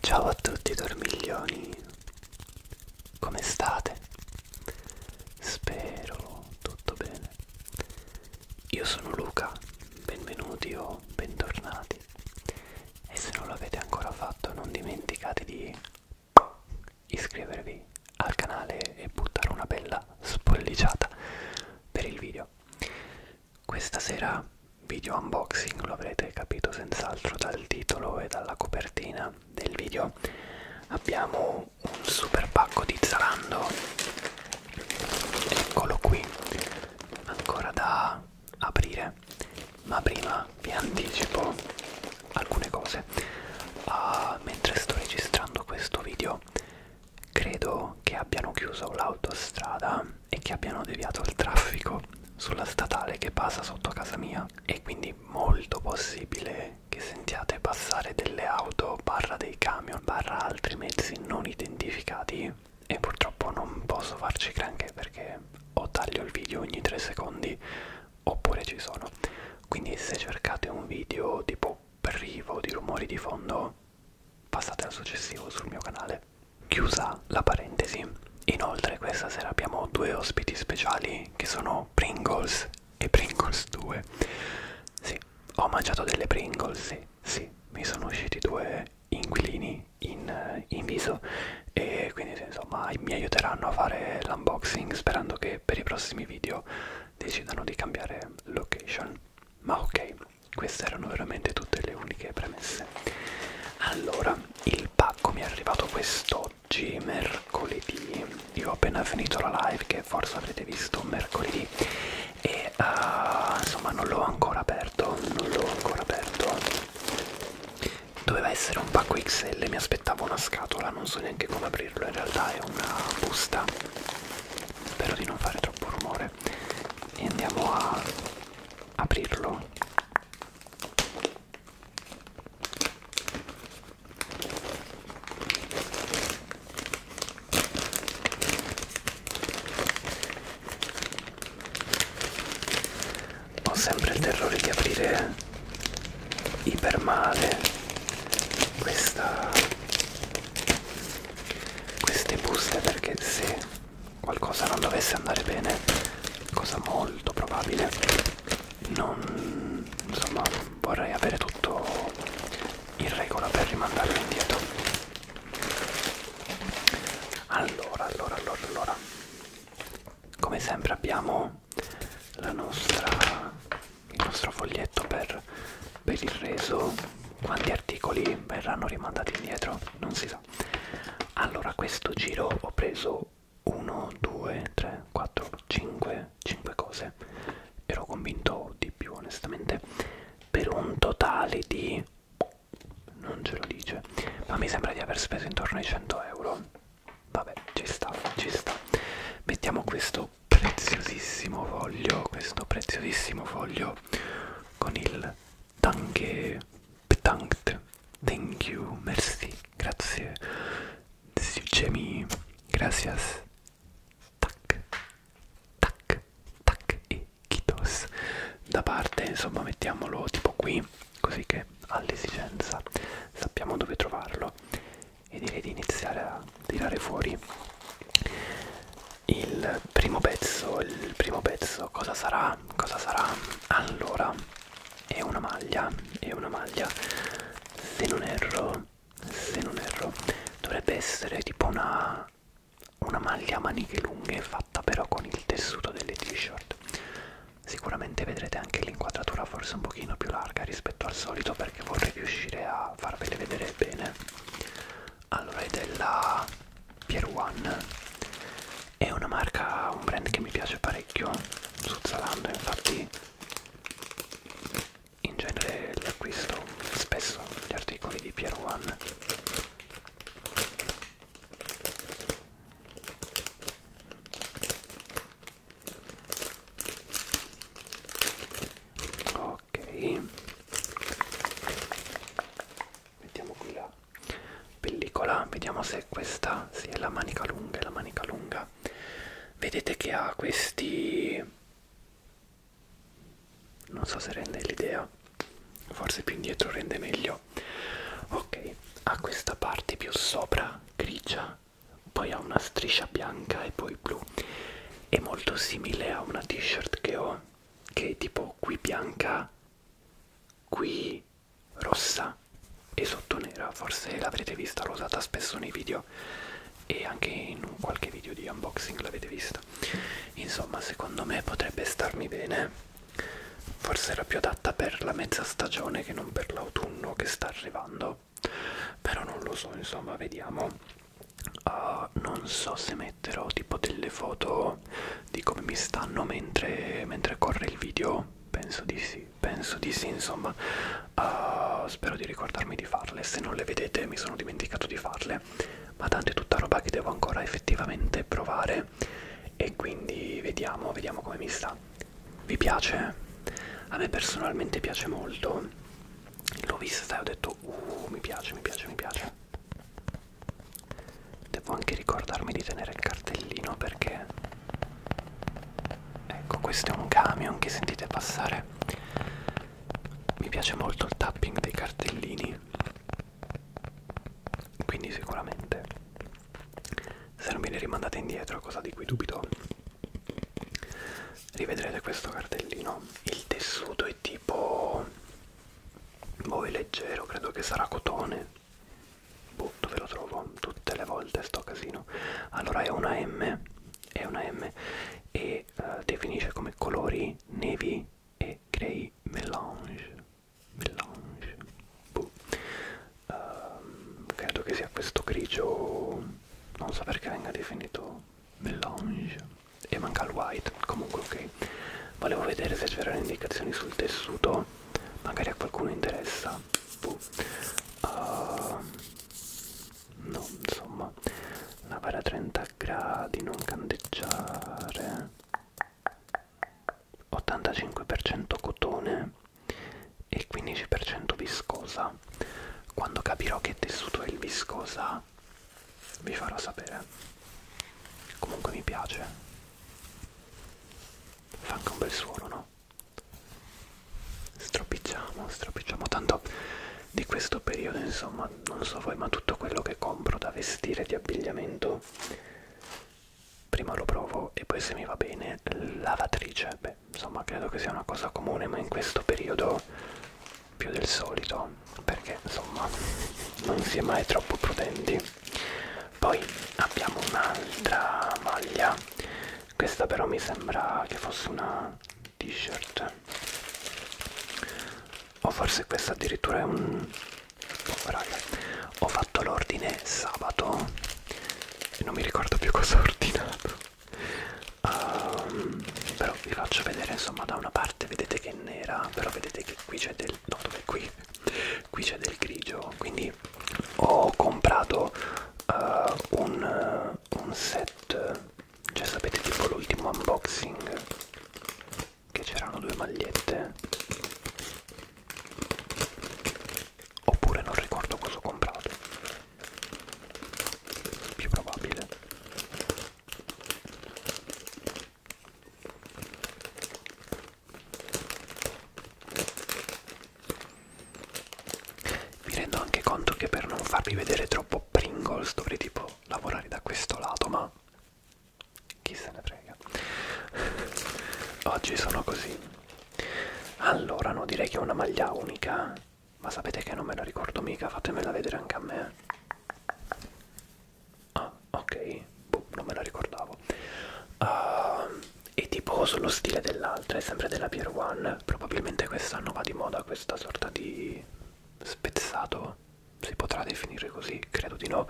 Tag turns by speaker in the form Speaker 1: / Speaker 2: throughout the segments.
Speaker 1: Ciao a tutti dormiglioni, come state? Spero tutto bene. Io sono Luca, benvenuti o bentornati. E se non l'avete ancora fatto non dimenticate di iscrivervi al canale e buttare una bella spolliciata per il video. Questa sera video unboxing, lo avrete capito senz'altro dal titolo e dalla copertina del video. Abbiamo un super pacco di Zalando, eccolo qui, ancora da aprire, ma prima vi anticipo alcune cose uh, mentre sto registrando questo video credo che abbiano chiuso l'autostrada e che abbiano deviato il traffico sulla statale che passa sotto casa mia e quindi molto possibile che sentiate passare delle auto barra dei camion barra altri mezzi non identificati e purtroppo non posso farci granché perché o taglio il video ogni 3 secondi oppure ci sono quindi se cercate un video tipo privo di rumori di fondo passate al successivo sul mio canale chiusa la parentesi inoltre questa sera abbiamo due ospiti speciali che sono Pringles e Pringles 2 sì ho mangiato delle Pringles sì, sì mi sono usciti due inquilini in, eh, in viso e quindi insomma mi aiuteranno a fare l'unboxing sperando che per i prossimi video video decidano di cambiare location ma ok queste erano veramente tutte le uniche premesse allora il pacco mi è arrivato quest'oggi mercoledì io ho appena finito la live che forse avrete visto mercoledì e uh, insomma non l'ho ancora aperto non l'ho ancora aperto doveva essere un pacco XL mi aspettavo aspettavo una scatola, non so neanche come aprirlo, in realtà è una busta. Spero di non fare troppo rumore. E andiamo a aprirlo. Ho sempre il terrore di aprire ipermale questa, queste buste perché se qualcosa non dovesse andare bene cosa molto probabile non insomma vorrei avere tutto in regola per rimandarlo indietro allora allora allora allora come sempre abbiamo la nostra, il nostro foglietto per, per il reso quanti articoli verranno rimandati indietro non si sa allora questo giro ho preso 1 2 3 4 5 5 cose ero convinto di più onestamente per un totale di non ce lo dice ma mi sembra di aver speso intorno ai 100 euro vabbè ci sta ci sta mettiamo questo preziosissimo foglio questo preziosissimo foglio con il danke bedankt thank you merci grazie Siucemi, gracias tac tac tac e kitos da parte insomma mettiamolo tipo qui così che all'esigenza sappiamo dove trovarlo e direi di iniziare a tirare fuori il primo pezzo il primo pezzo cosa sarà cosa sarà allora è una maglia è una maglia se non erro se non erro dovrebbe essere tipo una una maglia a maniche lunghe fatta però con il tessuto delle t-shirt sicuramente vedrete anche l'inquadratura forse un pochino più larga rispetto al solito perché vorrei riuscire a farvele vedere bene allora è della Pier One è una marca un brand che mi piace parecchio su Zalando infatti in genere li acquisto spesso gli articoli di Pier One ok mettiamo qui la pellicola vediamo se questa si sì, è la manica lunga è la manica lunga vedete che ha questi non so se rende l'idea forse più indietro rende meglio ok ha questa parte più sopra grigia poi ha una striscia bianca e poi blu è molto simile a una t-shirt che ho che è tipo qui bianca qui rossa e sotto nera forse l'avrete vista l'ho usata spesso nei video e anche in qualche video di unboxing l'avete vista insomma secondo me potrebbe starmi bene forse era più adatta per la mezza stagione che non per l'autunno che sta arrivando però non lo so insomma vediamo uh, non so se metterò tipo delle foto di come mi stanno mentre, mentre corre il video penso di sì penso di sì insomma uh, spero di ricordarmi di farle se non le vedete mi sono dimenticato di farle ma tanto è tutta roba che devo ancora effettivamente provare e quindi vediamo vediamo come mi sta vi piace? A me personalmente piace molto. L'ho vista e ho detto, uh, mi piace, mi piace, mi piace. Devo anche ricordarmi di tenere il cartellino perché... Ecco, questo è un camion che sentite passare. Mi piace molto il tapping dei cartellini. Quindi sicuramente se non viene rimandata indietro, cosa di cui dubito, rivedrete questo cartellino. Il tessuto è tipo... boh, è leggero, credo che sarà cotone. Boh, dove lo trovo? Tutte le volte sto casino. Allora è una M, è una M e uh, definisce come colori nevi e grey melange melange boh ehm, credo che sia questo grigio non so perché venga definito melange e manca il white comunque ok volevo vedere se c'erano indicazioni sul tessuto magari a qualcuno interessa uh, no insomma lavare a 30 gradi non candeggiare 85% cotone e 15% viscosa. Quando capirò che tessuto è il viscosa vi farò sapere. Comunque mi piace. Fa anche un bel suono, no? Stropicciamo, stropicciamo. Tanto di questo periodo, insomma, non so voi, ma tutto quello che compro da vestire di abbigliamento prima lo provo e poi se mi va bene lavatrice beh insomma credo che sia una cosa comune ma in questo periodo più del solito perché insomma non si è mai troppo prudenti poi abbiamo un'altra maglia questa però mi sembra che fosse una t-shirt o forse questa addirittura è un oh, raga ho fatto l'ordine sabato e non mi ricordo più cosa ho ordinato um, però vi faccio vedere insomma da una parte vedete che è nera però vedete che qui c'è del no dove qui qui c'è del grigio quindi ho comprato uh, un, un set cioè sapete tipo l'ultimo unboxing che c'erano due magliette oppure non ricordo cosa ho comprato più probabile mi rendo anche conto che per non farvi vedere troppo Pringles dovrei tipo lavorare da questo lato ma chi se ne frega oggi sono così allora, no, direi che è una maglia unica, ma sapete che non me la ricordo mica, fatemela vedere anche a me. Ah, ok, boh, non me la ricordavo. Uh, ah, è tipo sullo stile dell'altra, è sempre della Pier One, probabilmente quest'anno va di moda questa sorta di spezzato si potrà definire così, credo di no.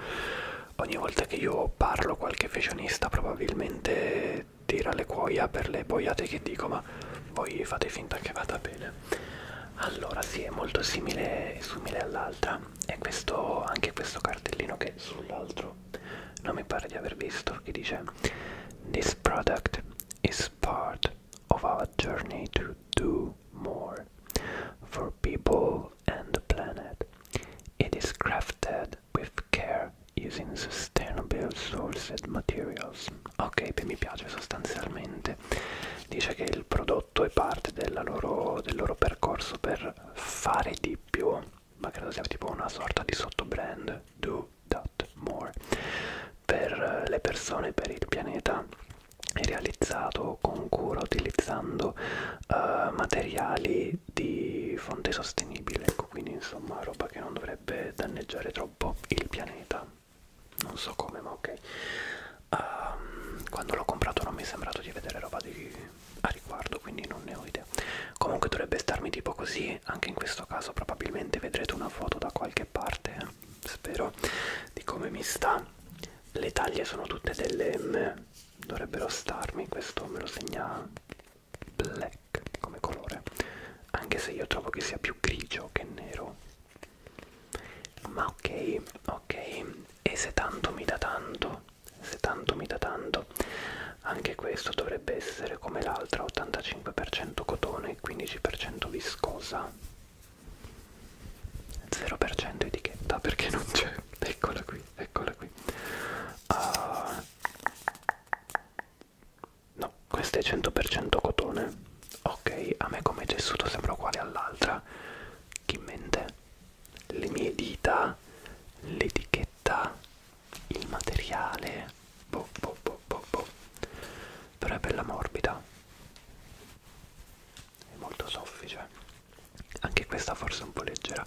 Speaker 1: Ogni volta che io parlo qualche fashionista probabilmente tira le cuoia per le boiate che dico, ma voi fate finta che vada bene. Allora, sì, è molto simile, simile all'altra. E questo, anche questo cartellino che sull'altro non mi pare di aver visto, che dice This product is part of our journey to do more for people and the planet. It is crafted with care using sustainable sourced materials. Ok, beh, mi piace sostanzialmente. Dice che il prodotto è parte loro, del loro percorso per fare di più, ma credo sia tipo una sorta di sottobrand. Do that more. Per le persone, per il pianeta è realizzato con cura utilizzando uh, materiali energy di fonte sostenibile ecco quindi insomma roba che non dovrebbe danneggiare troppo il pianeta non so come ma ok um, quando l'ho comprato non mi è sembrato di vedere roba di... a riguardo quindi non ne ho idea comunque dovrebbe starmi tipo così anche in questo caso probabilmente vedrete una foto da qualche parte eh? spero di come mi sta le taglie sono tutte delle M dovrebbero starmi questo me lo segna black come colore anche se io trovo che sia più grigio che nero ma ok ok e se tanto mi dà tanto se tanto mi dà tanto anche questo dovrebbe essere come l'altra 85% cotone e 15% viscosa 0% etichetta perché non c'è eccola qui eccola qui uh, No, questa è 100% cotone. Ok, a me come tessuto sembra uguale all'altra. Chi mente? Le mie dita, l'etichetta, il materiale. Boh, boh, boh, boh, boh. Però è bella morbida. È molto soffice. Anche questa forse è un po' leggera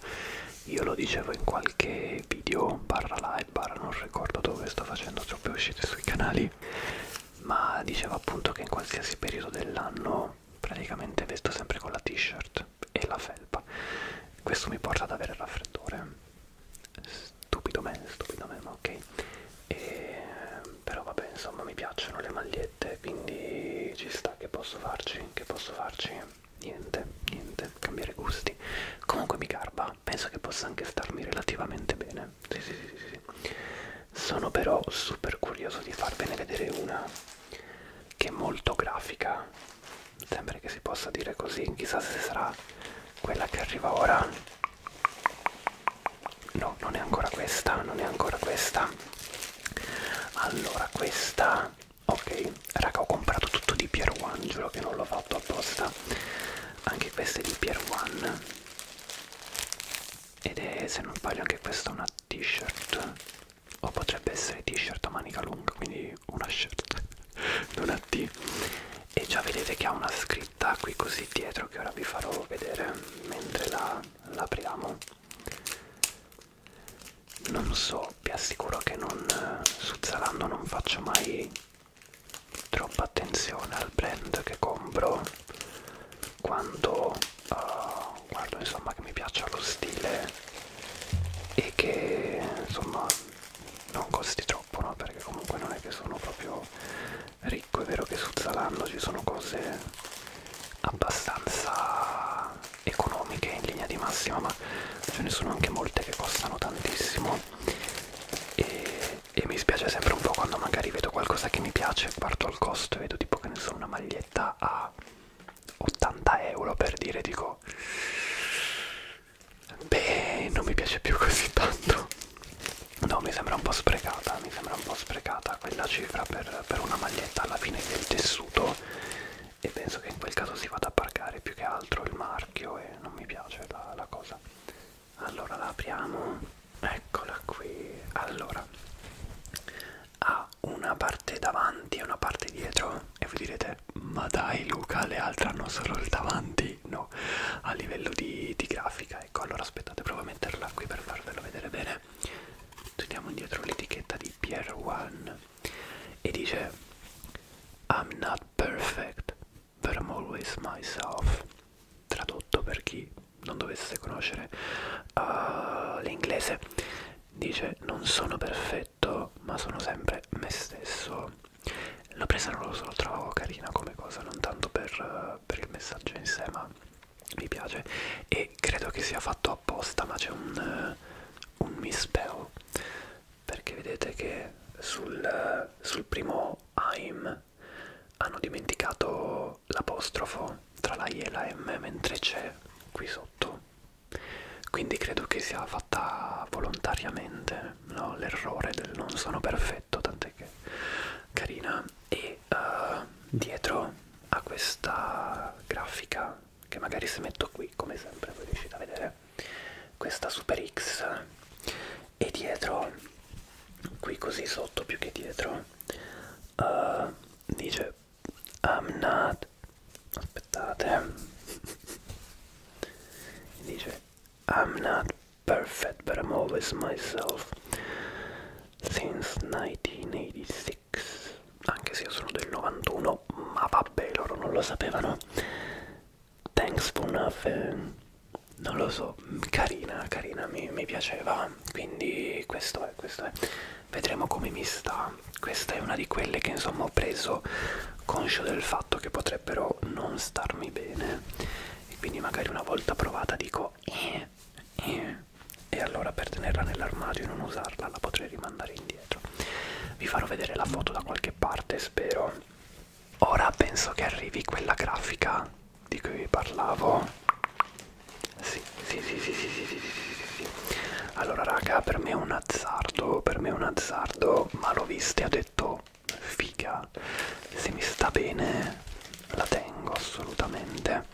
Speaker 1: io lo dicevo in qualche video barra live barra non ricordo dove sto facendo troppe uscite sui canali ma dicevo appunto che in qualsiasi periodo dell'anno praticamente vesto sempre con la t-shirt e la felpa questo mi porta ad avere il raffreddore stupido me stupido me ma ok e, però vabbè insomma mi piacciono le magliette quindi ci sta che posso farci che posso farci niente, niente, cambiare gusti. Comunque mi garba, penso che possa anche starmi relativamente bene. Sì, sì, sì, sì, sì. Sono però super curioso di farvene vedere una che è molto grafica. Sembra che si possa dire così, chissà se sarà quella che arriva ora. No, non è ancora questa, non è ancora questa. Allora, questa ok raga ho comprato tutto di Pier One giuro che non l'ho fatto apposta anche queste di Pier One ed è se non sbaglio anche questa una t-shirt o potrebbe essere t-shirt a manica lunga quindi una shirt non a t e già vedete che ha una scritta qui così dietro che ora vi farò vedere mentre la, la apriamo non so vi assicuro che non eh, su Zalando non faccio mai troppa attenzione al brand che compro quando uh, guardo insomma che mi piaccia lo stile e che insomma non costi troppo no? perché comunque non è che sono proprio ricco è vero che su Zalando ci sono cose abbastanza economiche in linea di massima ma ce ne sono anche molte che costano tantissimo e, e mi spiace sempre un po' quando magari vedo qualcosa che mi piace guardo al costo e vedo tipo che ne sono una maglietta a 80 euro per dire dico beh non mi piace più così tanto no mi sembra un po' sprecata mi sembra un po' sprecata quella cifra per, per una maglietta alla fine del tessuto e penso che in quel caso si vada a parcare più che altro il marchio e non mi piace la, la cosa allora la apriamo eccola qui allora ha una parte davanti e una parte dietro e voi direte ma dai Luca le altre hanno solo il davanti no a livello di, di grafica ecco allora aspettate provo a metterla qui per farvelo vedere bene teniamo indietro l'etichetta di Pier One e dice I'm not perfect, but I'm always myself. Tradotto per chi non dovesse conoscere uh, l'inglese, dice non sono perfetto, ma sono sempre me stesso. L'ho presa, non lo so, la trovavo carina come cosa, non tanto per, uh, per il messaggio in sé, ma mi piace. E e credo che sia fatto apposta ma c'è un, eh, un misspell perché vedete che sul, eh, sul primo I'm hanno dimenticato l'apostrofo tra la I e la M mentre c'è qui sotto quindi credo che sia fatta volontariamente no? l'errore del non sono perfetto tant'è che carina e uh, dietro a questa grafica che magari se metto qui come sempre voi riuscite a vedere questa super x e dietro qui così sotto più che dietro uh, dice I'm not aspettate dice I'm not perfect but I'm always myself since 1986 X, anche se io sono del 91, ma vabbè, loro non lo sapevano. Thanks for nothing. Non lo so, carina, carina, mi, mi piaceva. Quindi questo è, questo è. Vedremo come mi sta. Questa è una di quelle che insomma ho preso conscio del fatto che potrebbero non starmi bene. E quindi magari una volta provata dico eh, eh, e allora per tenerla nell'armadio e non usarla la potrei rimandare indietro vi farò vedere la foto da qualche parte spero ora penso che arrivi quella grafica di cui vi parlavo sì sì sì sì sì sì sì sì sì sì allora raga per me è un azzardo per me è un azzardo ma l'ho vista e ho detto figa se mi sta bene la tengo assolutamente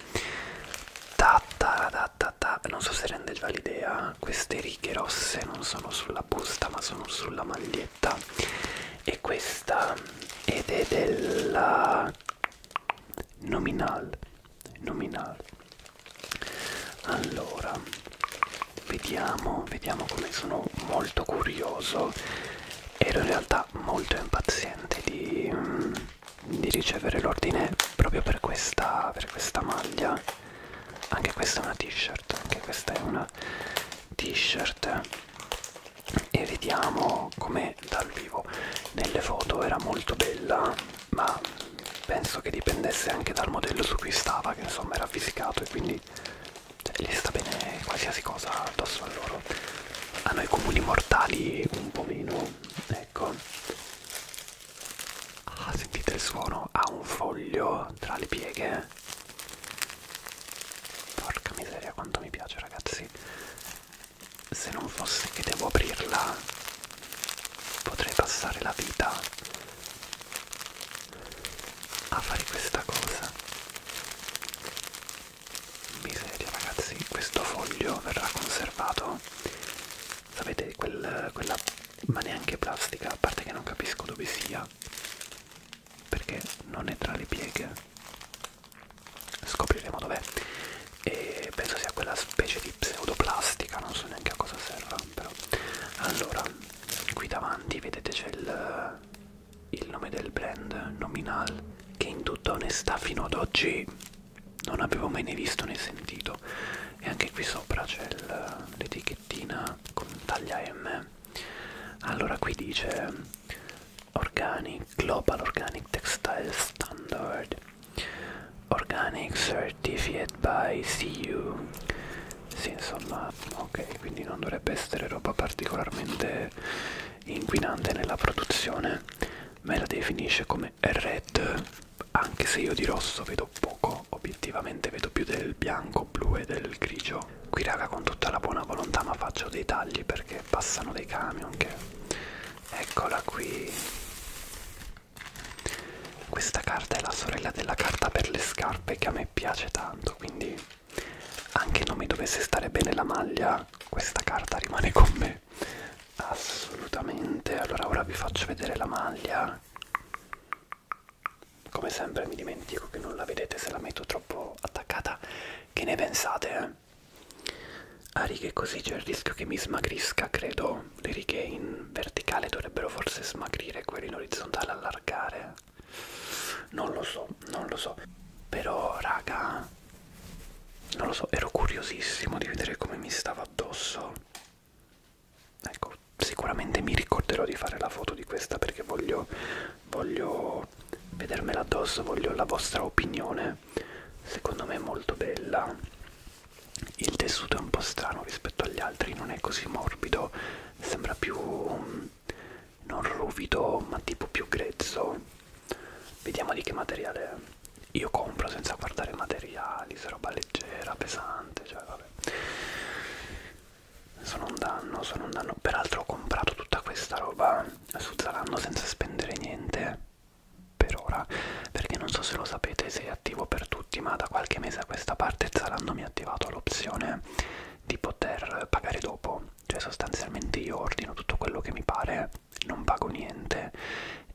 Speaker 1: ta ta ta ta realtà non so se rende già l'idea queste righe rosse non sono sulla busta ma sono sulla maglietta e questa ed è della nominal nominal allora vediamo vediamo come sono molto curioso ero in realtà molto impaziente di mm, di ricevere l'ordine proprio per questa, per questa maglia anche questa è una t-shirt anche questa è una t-shirt e vediamo come dal vivo nelle foto era molto bella ma penso che dipendesse anche dal modello su cui stava che insomma era fisicato e quindi cioè, gli sta bene qualsiasi cosa addosso a loro a noi comuni mortali un po' meno ecco Ah, sentite il suono? Ha un foglio tra le pieghe. Porca miseria, quanto mi piace, ragazzi. Se non fosse che devo aprirla, potrei passare la vita a fare questa cosa. Miseria, ragazzi, questo foglio verrà conservato Sapete, quel, quella ma neanche plastica, a parte che non capisco dove sia, perché non è tra le pieghe. Scopriremo dov'è. E penso sia quella specie di pseudoplastica, non so neanche a cosa serva, però. Allora, qui davanti vedete c'è il, il nome del brand nominal che in tutta onestà fino ad oggi non avevo mai né visto né sentito e anche qui sopra c'è l'etichettina con taglia M allora qui dice Organic Global Organic Textile Standard Organic Certificate by CU sì insomma ok quindi non dovrebbe essere roba particolarmente inquinante nella produzione me la definisce come red anche se io di rosso vedo poco, obiettivamente vedo più del bianco, blu e del grigio. Qui raga con tutta la buona volontà ma faccio dei tagli perché passano dei camion che... Eccola qui. Questa carta è la sorella della carta per le scarpe che a me piace tanto, quindi anche non mi dovesse stare bene la maglia, questa carta rimane con me assolutamente allora ora vi faccio vedere la maglia come sempre mi dimentico che non la vedete se la metto troppo attaccata che ne pensate eh? a righe così c'è il rischio che mi smagrisca credo le righe in verticale dovrebbero forse smagrire quelle in orizzontale allargare non lo so non lo so però raga non lo so ero curiosissimo di vedere come mi stava addosso ecco sicuramente mi ricorderò di fare la foto di questa perché voglio voglio vedermela addosso voglio la vostra opinione secondo me è molto bella il tessuto è un po' strano rispetto agli altri non è così morbido sembra più mm, non ruvido ma tipo più grezzo vediamo di che materiale è io compro senza guardare materiali, se roba leggera, pesante, cioè vabbè. Sono un danno, sono un danno. Peraltro ho comprato tutta questa roba su Zalando senza spendere niente per ora, perché non so se lo sapete se è attivo per tutti, ma da qualche mese a questa parte Zalando mi ha attivato l'opzione di poter pagare dopo, cioè sostanzialmente io ordino tutto quello che mi pare non pago niente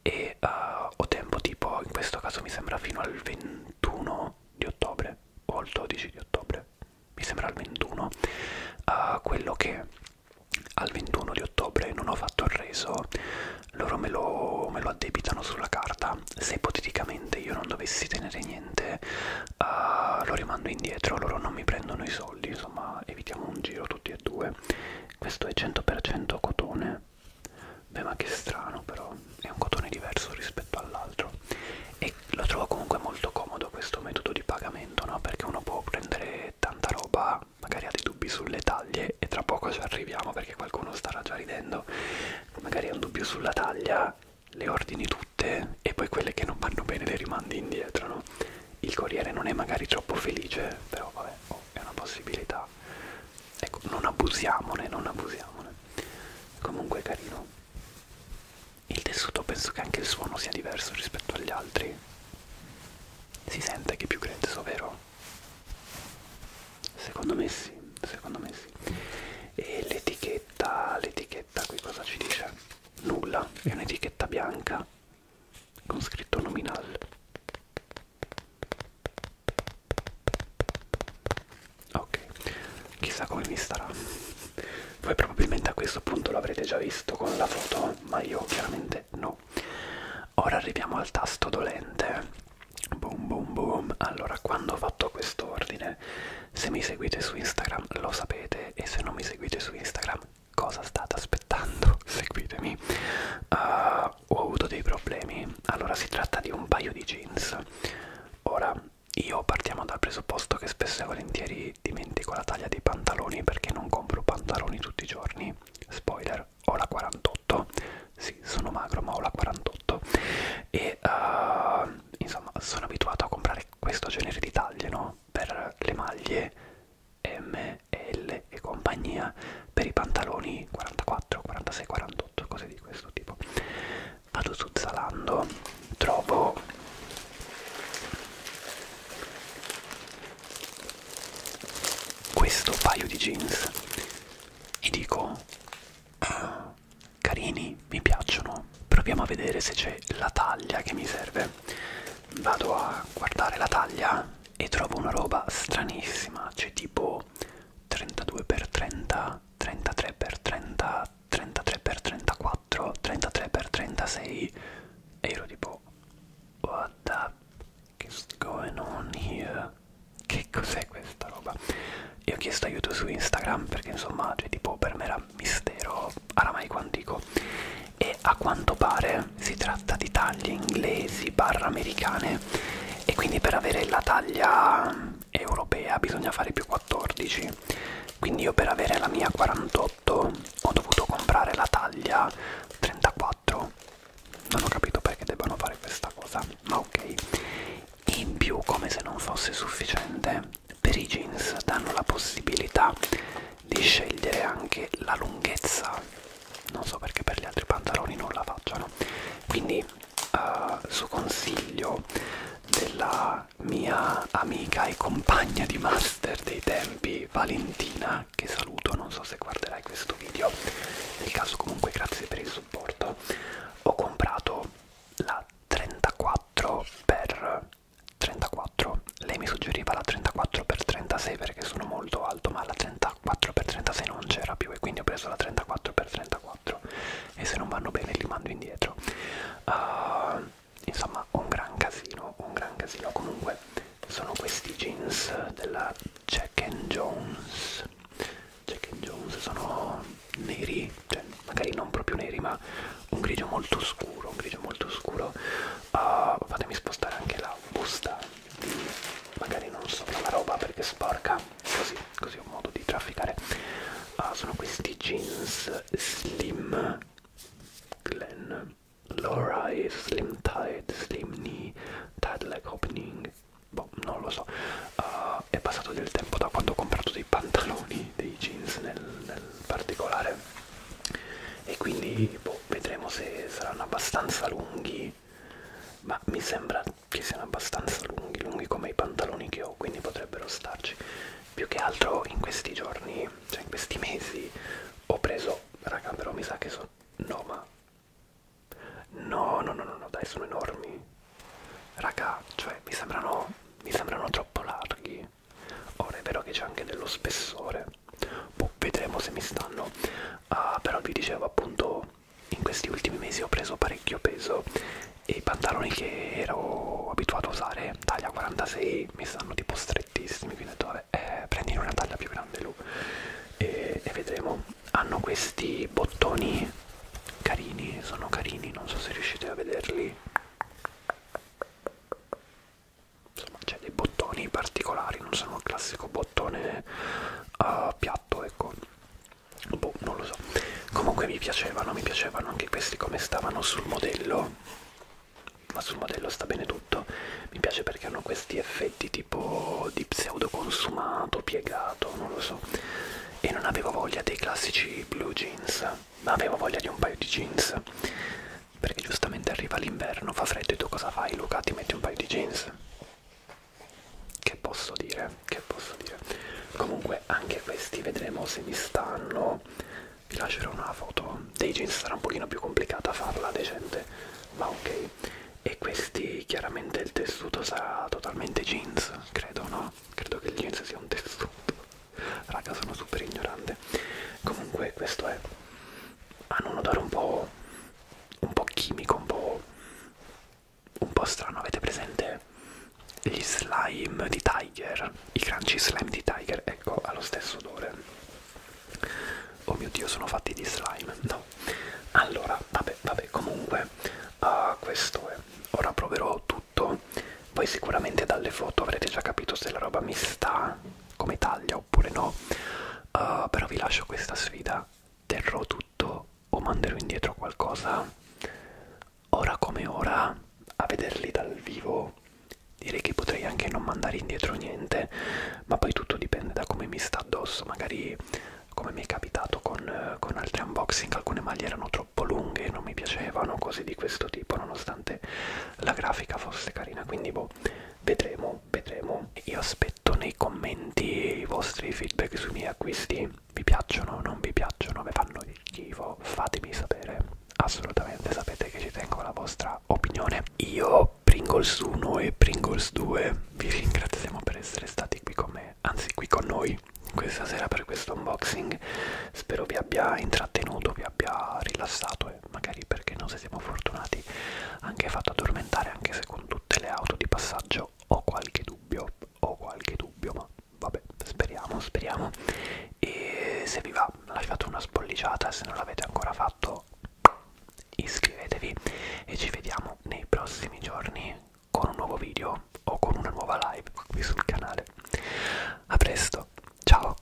Speaker 1: e uh, ho tempo tipo in questo caso mi sembra fino al 21 di ottobre o al 12 di ottobre mi sembra al 21 uh, eh, quello che al 21 di ottobre non ho fatto il reso loro me lo, me lo addebitano sulla carta se ipoteticamente io non dovessi tenere niente uh, lo rimando indietro loro non mi prendono i soldi insomma evitiamo un giro tutti e due questo è 100% cotone Beh ma che strano però, è un cotone diverso rispetto all'altro e lo trovo comunque molto comodo questo metodo di pagamento, no? Perché uno può prendere tanta roba, magari ha dei dubbi sulle taglie e tra poco ci arriviamo perché qualcuno starà già ridendo, magari ha un dubbio sulla taglia, le ordini tutte e poi quelle che non vanno bene le rimandi indietro, no? Il corriere non è magari troppo felice, però vabbè, oh, è una possibilità fa ecco non abusiamone non abusiamone comunque carino il tessuto penso che anche il suono sia diverso rispetto agli altri si sente che è più grezzo vero secondo me sì secondo me sì e l'etichetta l'etichetta qui cosa ci dice nulla è un'etichetta bianca con scritto nominal Ok, chissà come mi starà. Voi probabilmente a questo punto l'avrete già visto con la foto, ma io chiaramente no. Ora arriviamo al tasto dolente. Boom boom boom. Allora, quando ho fatto questo ordine, se mi seguite su Instagram lo sapete e se non mi seguite su Instagram cosa state aspettando? Seguitemi. Uh, ho avuto dei problemi. Allora, si tratta di un paio di jeans. Ora, io partiamo dal presupposto che spesso e volentieri dimentico la taglia dei pantaloni perché non compro pantaloni tutti i giorni. Spoiler, ho la 48. Sì, sono magro, ma ho la 48. E uh, insomma, sono abituato a comprare questo genere di taglie, no? Per le maglie M, l e compagnia per i pantaloni 44, 46, 48, cose di questo tipo. Vado su Zalando, trovo questo paio di jeans e dico ah, carini, mi piacciono, proviamo a vedere se c'è la taglia che mi serve. Vado a guardare la taglia e trovo una roba stranissima, c'è tipo 32x30, 33x30, 33x34, 33x36 e ero tipo what the is going on here? Che cos'è questa roba? E ho chiesto aiuto su Instagram perché insomma, cioè tipo per me era mistero aramaico antico e a quanto pare si tratta di taglie inglesi barra americane e quindi per avere la taglia europea bisogna fare più 14 quindi io per avere la mia 48 ho dovuto comprare la taglia 34 non ho capito perché debbano fare questa cosa ma ok in più come se non fosse sufficiente per i jeans danno la possibilità di scegliere anche la lunghezza non so perché per gli altri pantaloni non la facciano quindi eh, su consiglio della mia amica e compagna di master dei tempi Valentina che saluto non so se guarderai questo video nel caso comunque grazie per il supporto ho comprato la 34 per 34 alto lei mi suggeriva la 34x36 perché sono molto alto ma la 34x36 non c'era più e quindi ho preso la 34x34 e se non vanno bene li mando indietro uh, insomma un gran casino un gran casino comunque sono questi jeans della Jack and Jones Jack and Jones sono neri cioè magari non proprio neri ma un grigio molto scuro un grigio molto scuro uh, fatemi spostare anche la busta magari non sopra la roba perché sporca così così ho modo di trafficare ah, sono questi jeans slim Glen Lorai Slim Tide Slim Knee Tide Leg Opening boh non lo so uh, è passato del tempo da quando ho comprato dei pantaloni dei jeans nel, nel particolare e quindi boh adesso vedremo se saranno abbastanza lunghi ma mi sembra che siano abbastanza lunghi lunghi come i pantaloni che ho quindi potrebbero starci più che altro in questi giorni cioè in questi mesi ho preso raga però mi sa che sono no ma no no no no, no dai sono enormi raga cioè mi sembrano mi sembrano troppo larghi ora è vero che c'è anche dello spessore boh, vedremo se mi stanno uh, però vi dicevo appunto in questi ultimi mesi ho preso parecchio peso e i pantaloni che ero abituato a usare taglia 46 mi stanno tipo strettissimi quindi ho detto vabbè eh, prendi una taglia più grande lui e, e vedremo hanno questi bottoni carini sono carini non so se riuscite a vederli insomma c'è dei bottoni particolari non sono il classico bottone uh, piatto ecco boh non lo so comunque mi piacevano mi piacevano anche questi come stavano sul modello ma sul modello sta bene tutto mi piace perché hanno questi effetti tipo di pseudo consumato piegato non lo so e non avevo voglia dei classici blue jeans ma avevo voglia di un paio di jeans perché giustamente arriva l'inverno, fa freddo e tu cosa fai Luca? Ti metti un paio di jeans? Che posso dire? Che posso dire? Comunque anche questi vedremo se mi stanno. Vi lascerò una foto dei jeans, sarà un pochino più complicata farla decente, ma ok. E questi chiaramente il tessuto sarà totalmente jeans, credo no? Credo che il jeans sia un tessuto. Raga sono super ignorante. Comunque questo è hanno un odore un po', un po chimico, un po', un po' strano. Avete presente gli slime di Tiger? I crunchy slime di Tiger, ecco, ha lo stesso odore. Oh mio dio, sono fatti di slime, no? Allora, vabbè, vabbè, comunque, uh, questo è. Ora proverò tutto. Voi sicuramente dalle foto avrete già capito se la roba mi sta come taglia oppure no uh, però vi lascio questa sfida terrò tutto o manderò indietro qualcosa ora come ora a vederli dal vivo direi che potrei anche non mandare indietro niente ma poi tutto dipende da come mi sta addosso magari come mi è capitato con, con altri unboxing alcune maglie erano troppo lunghe non mi piacevano cose di questo tipo nonostante la grafica fosse carina quindi boh vedremo vedremo io aspetto nei commenti i vostri feedback sui miei acquisti vi piacciono non vi piacciono vi fanno schifo fatemi sapere assolutamente sapete che ci tengo alla vostra opinione io Pringles 1 e Pringles 2 vi ringraziamo per essere stati qui con me anzi qui con noi questa sera per questo unboxing spero vi abbia intrattenuto vi abbia rilassato due, magari perché non se siamo fortunati, anche fatto addormentare anche se con tutte le auto di passaggio ho qualche dubbio, ho qualche dubbio, ma vabbè, speriamo, speriamo. E se vi va lasciate una spolliciata, se non l'avete ancora fatto iscrivetevi e ci vediamo nei prossimi giorni con un nuovo video o con una nuova live qui sul canale. A presto, ciao!